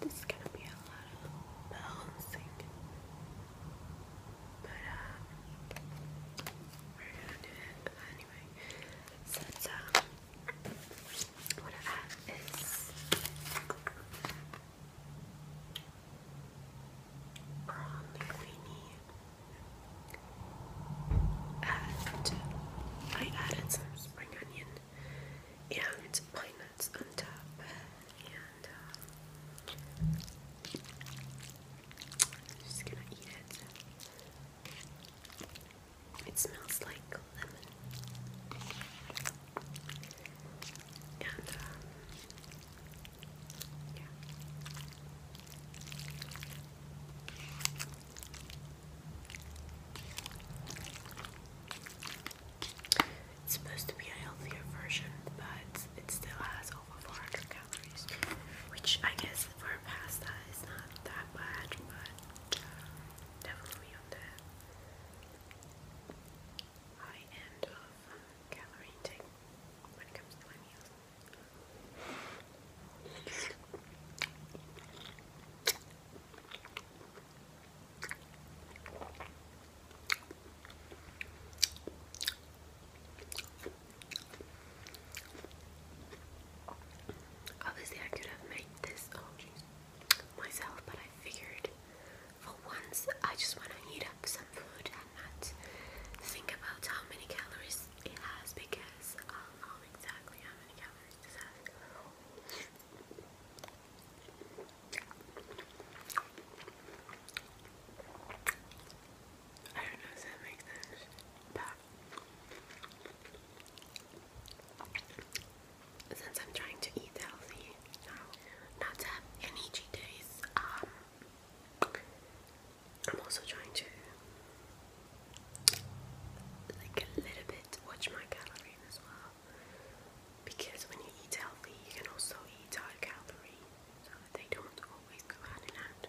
This is gonna be a lot of balancing, but uh, we're gonna do it anyway. Since um, what I have is and uh, I added some spring onion and pine nuts on top. And uh, just gonna eat it. It smells like lemon. Um, it's supposed to be a healthier version, but it still has over 400 calories, which I guess for a pasta is not that bad, but uh, definitely on high end of um, calorie intake when it comes to meals. Obviously, I could have made this um, myself, but I figured for once I just want to heat up some food and not think about how many calories it has because I'll um, know exactly how many calories I don't know if that makes sense, but since I'm trying to eat healthy now, not to have any cheat days, um, I'm also trying to like a little bit watch my calories as well because when you eat healthy you can also eat high calorie so they don't always go hand in hand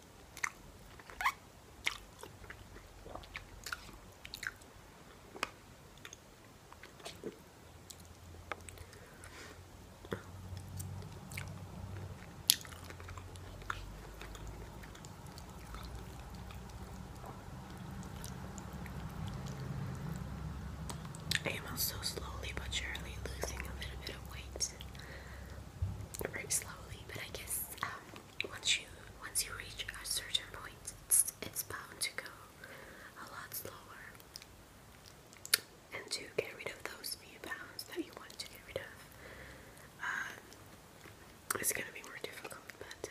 I am also slowly but surely losing a little bit of weight. Very slowly, but I guess um, once you once you reach a certain point, it's it's bound to go a lot slower, and to get rid of those few pounds that you want to get rid of, um, it's gonna be more difficult. But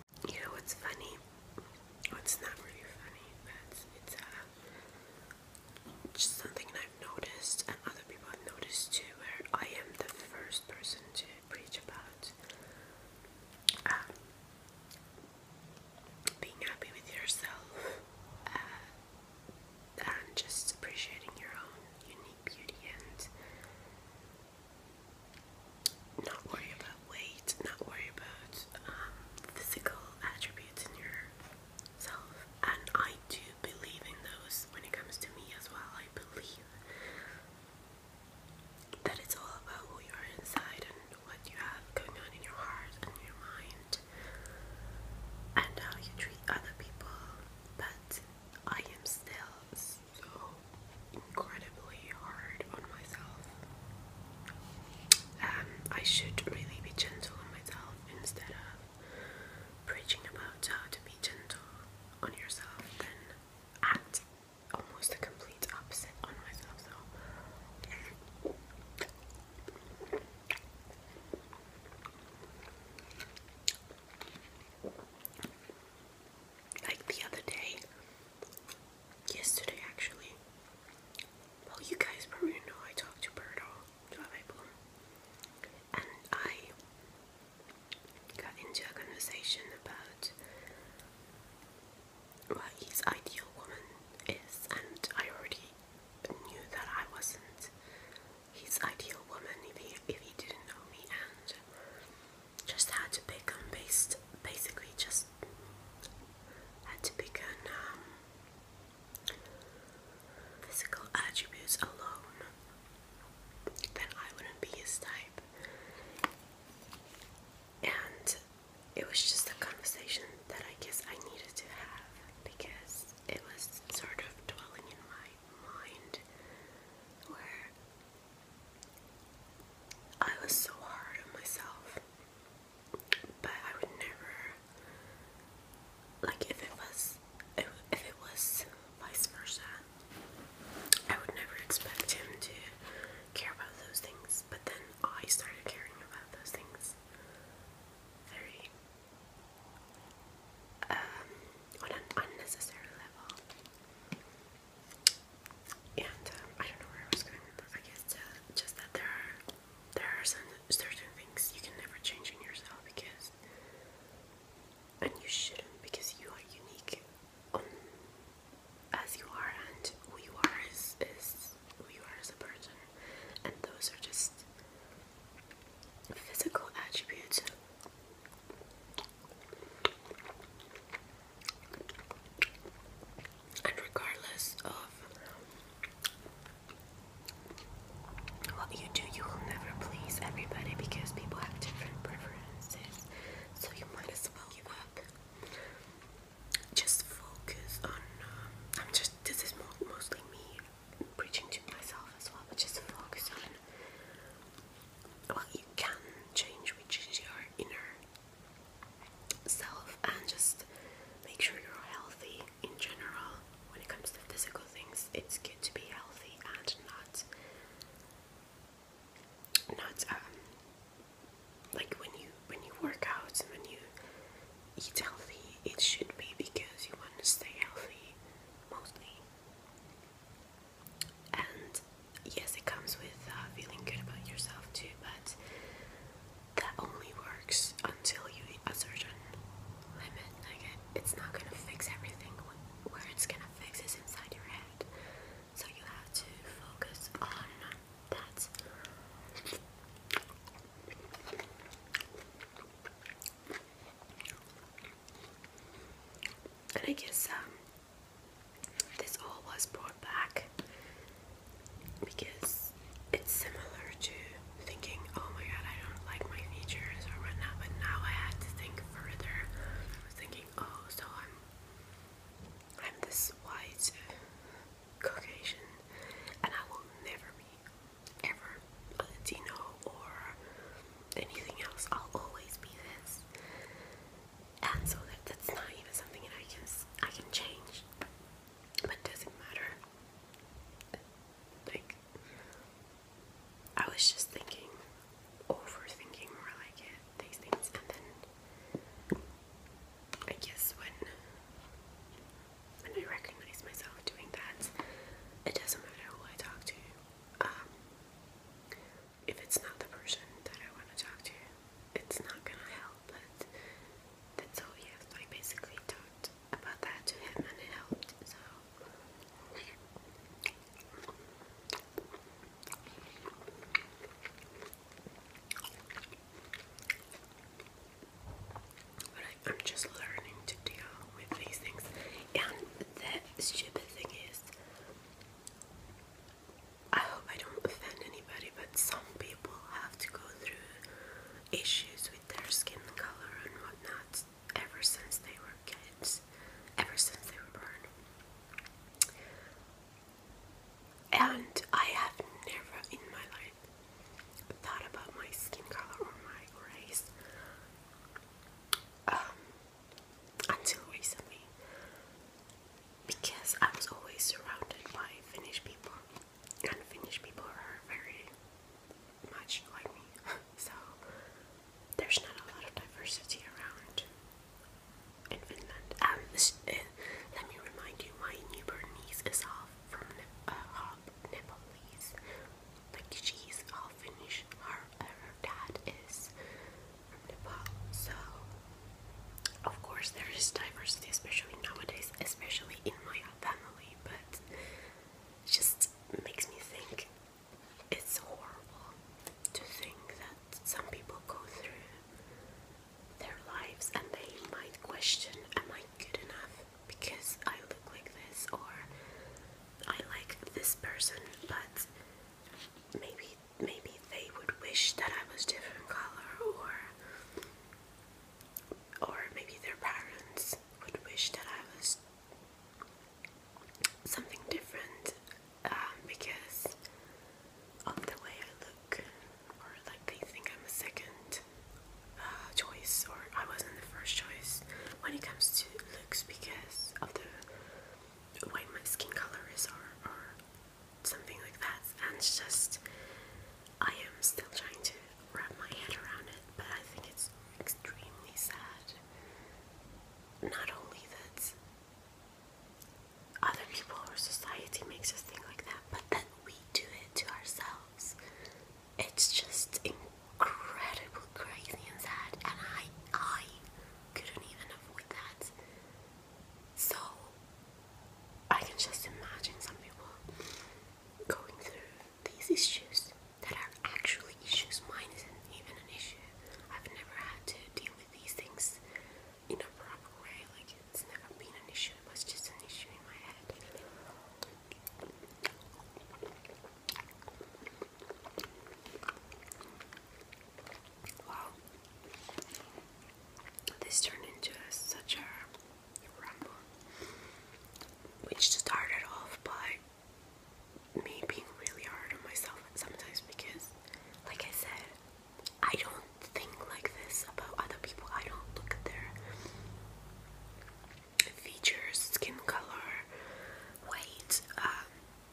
You know what's funny? it's not really funny, but it's, uh, just something I've noticed and other people have noticed too, where I am the first person to preach about um, being happy with yourself uh, and just appreciating your own unique beauty and not worry about weight, not worry about um, physical attributes in yourself. And I do believe in those when it comes to me as well. I believe that it's all about who you are inside and what you have going on in your heart and your mind and how you treat other people. But I am still so incredibly hard on myself. Um, I should really be gentle on myself instead of preaching about how to be gentle on yourself, then act almost the complete opposite on myself. So. Like the other day, yesterday actually. Well, you guys probably know I talked to Birdo, Jave Bloom, and I got into a conversation about what his ideal woman is, and I already knew that I wasn't his ideal woman if he, if he didn't know me, and just had to pick on based basically just had to pick on um, physical attributes alone then I wouldn't be his type and it was just a conversation that I guess I needed to have because it was sort of dwelling in my mind where I was so hard on myself, but I would never like if it was if, it was vice versa. I would never expect him to care about those things, but then I started caring about those things very um, on an unnecessary level. And um, I don't know where I was going I guess uh, just that there are there are certain things you can never change in yourself because, and you shouldn't because you are unique as you are and who you are as is who you are as a person, and those are just physical attributes. And regardless of what you do, you will never please everybody because people have different preferences. So you might as well give up. Just focus on. Um, I'm just. This is mostly me preaching to myself as well, but just focus on what you can change, which is your inner self and just make sure you're healthy in general. When it comes to physical things, it's good to be healthy and not not um like when you when you work out and when you eat healthy it should be because you want to stay healthy mostly and yes, it comes with uh, feeling good about yourself too, but that only works until you hit a certain limit. Like it's not gonna fix everything. Where it's gonna fix is inside your head. So you have to focus on that. And I guess um, this all was brought back because it's similar to thinking, oh my god, I don't like my features or whatnot, but now I had to think further. I was thinking, oh, so I'm I'm this white Caucasian and I will never be ever Latino or anything else. I'll always be this and so that that's not even something that I can I can change. But doesn't matter. Like I was just thinking, overthinking more like it these things, and then I guess when when I recognize myself doing that, it doesn't matter who I talk to. Um, if it's not the person that I want to talk to, it's not gonna help. But that's all he asked. I basically talked about that to him and it helped. So. But I'm just learning to deal with these things. And the stupid thing is, I hope I don't offend anybody, but some people have to go through issues with their skin color and whatnot ever since they were kids, ever since they were born. And I have never in my life thought about my skin color or my race um, until recently because I was always surrounded by Finnish people, and Finnish people are very much like me, so there's not a lot of diversity around in Finland. Um, uh, let me remind you, my newborn niece is half from uh, half Nepalese, like she's half Finnish. her dad is the bottle. So, of course, there is diversity, especially nowadays, especially in my family, but it just makes me think it's horrible to think that some people go through their lives and they might question, Am I good enough because I look like this or I like this person, but maybe maybe they would wish that I was different color or or maybe their parents would wish that I was something different um, because of the way I look or like they think I'm a second uh, choice or I wasn't the first choice when it comes to looks because of the way my skin color is or, or something like that. And it's just, I am still trying to wrap my head around it, but I think it's extremely sad. Not only that other people or society makes us think like that, but that we do it to ourselves. It's just incredible, crazy, and sad, and I, I couldn't even avoid that. So I can just imagine some people going through these issues that are actually issues. Mine isn't even an issue. I've never had to deal with these things in a proper way. Like it's never been an issue. It was just an issue in my head. Wow, this turned into such a ramble, which started off by me being really hard on myself sometimes because, like I said, I don't think like this about other people. I don't look at their features, skin color, weight, um,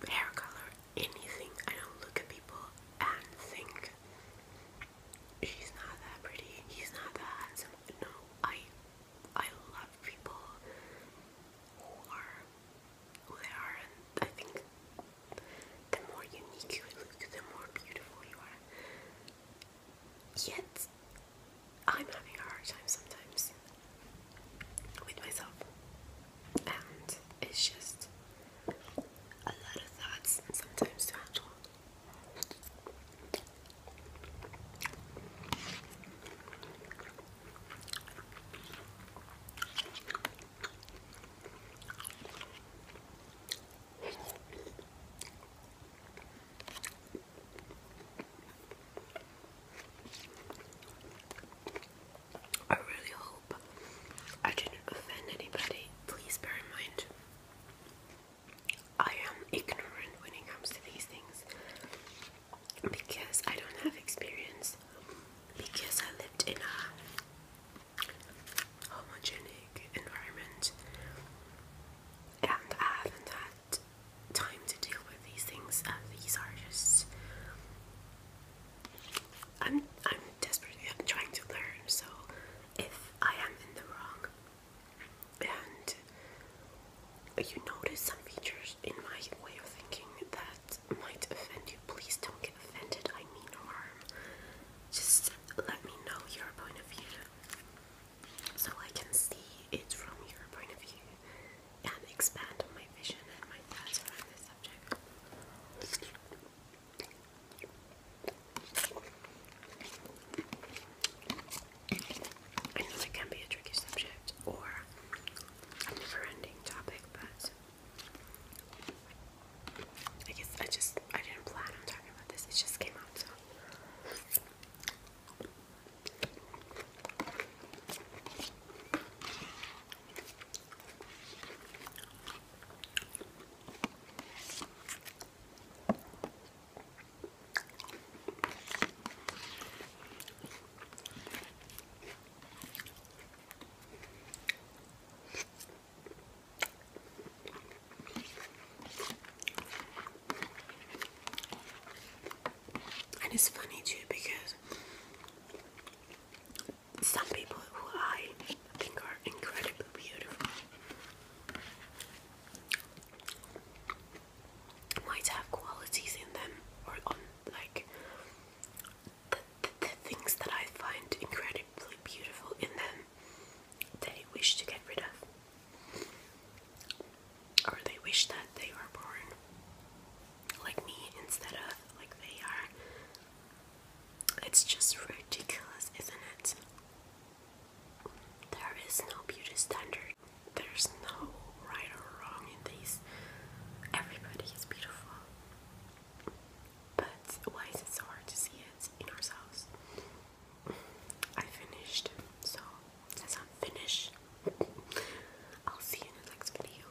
hair color, anything. I don't look at people and think she's not that pretty, he's not that handsome. No, I I love people who are who they are and I think the more unique you look, the more beautiful you are. Yet I'm having a hard time sometimes with myself and it's just a lot of thoughts sometimes to handle. I really hope I didn't offend anybody. Please bear in mind, I am ignorant when it comes to these things because I don't have experience. Because I lived in a homogenous environment and I haven't had time to deal with these things. Uh, these are just. I'm, I'm desperately I'm trying to learn. So if I am in the wrong and you notice some features in my way of thinking that might offend you, please don't get offended. I mean no harm. Just let me know your point of view so I can see it from your point of view and expand my vision and my thoughts around this subject. I know it can be a tricky subject or a never ending topic, but I guess I just I didn't plan on talking about this, it just came out so and it's funny too because some people who I think are incredibly beautiful might have qualities in them or on like the, the, things that I find incredibly beautiful in them they wish to get rid of or they wish that they were born like me instead of like they are it's just ridiculous, isn't it? There is no beauty standard. There's no right or wrong in these. Everybody is beautiful. But why is it so hard to see it in ourselves? I finished, so since I'm finished, I'll see you in the next video.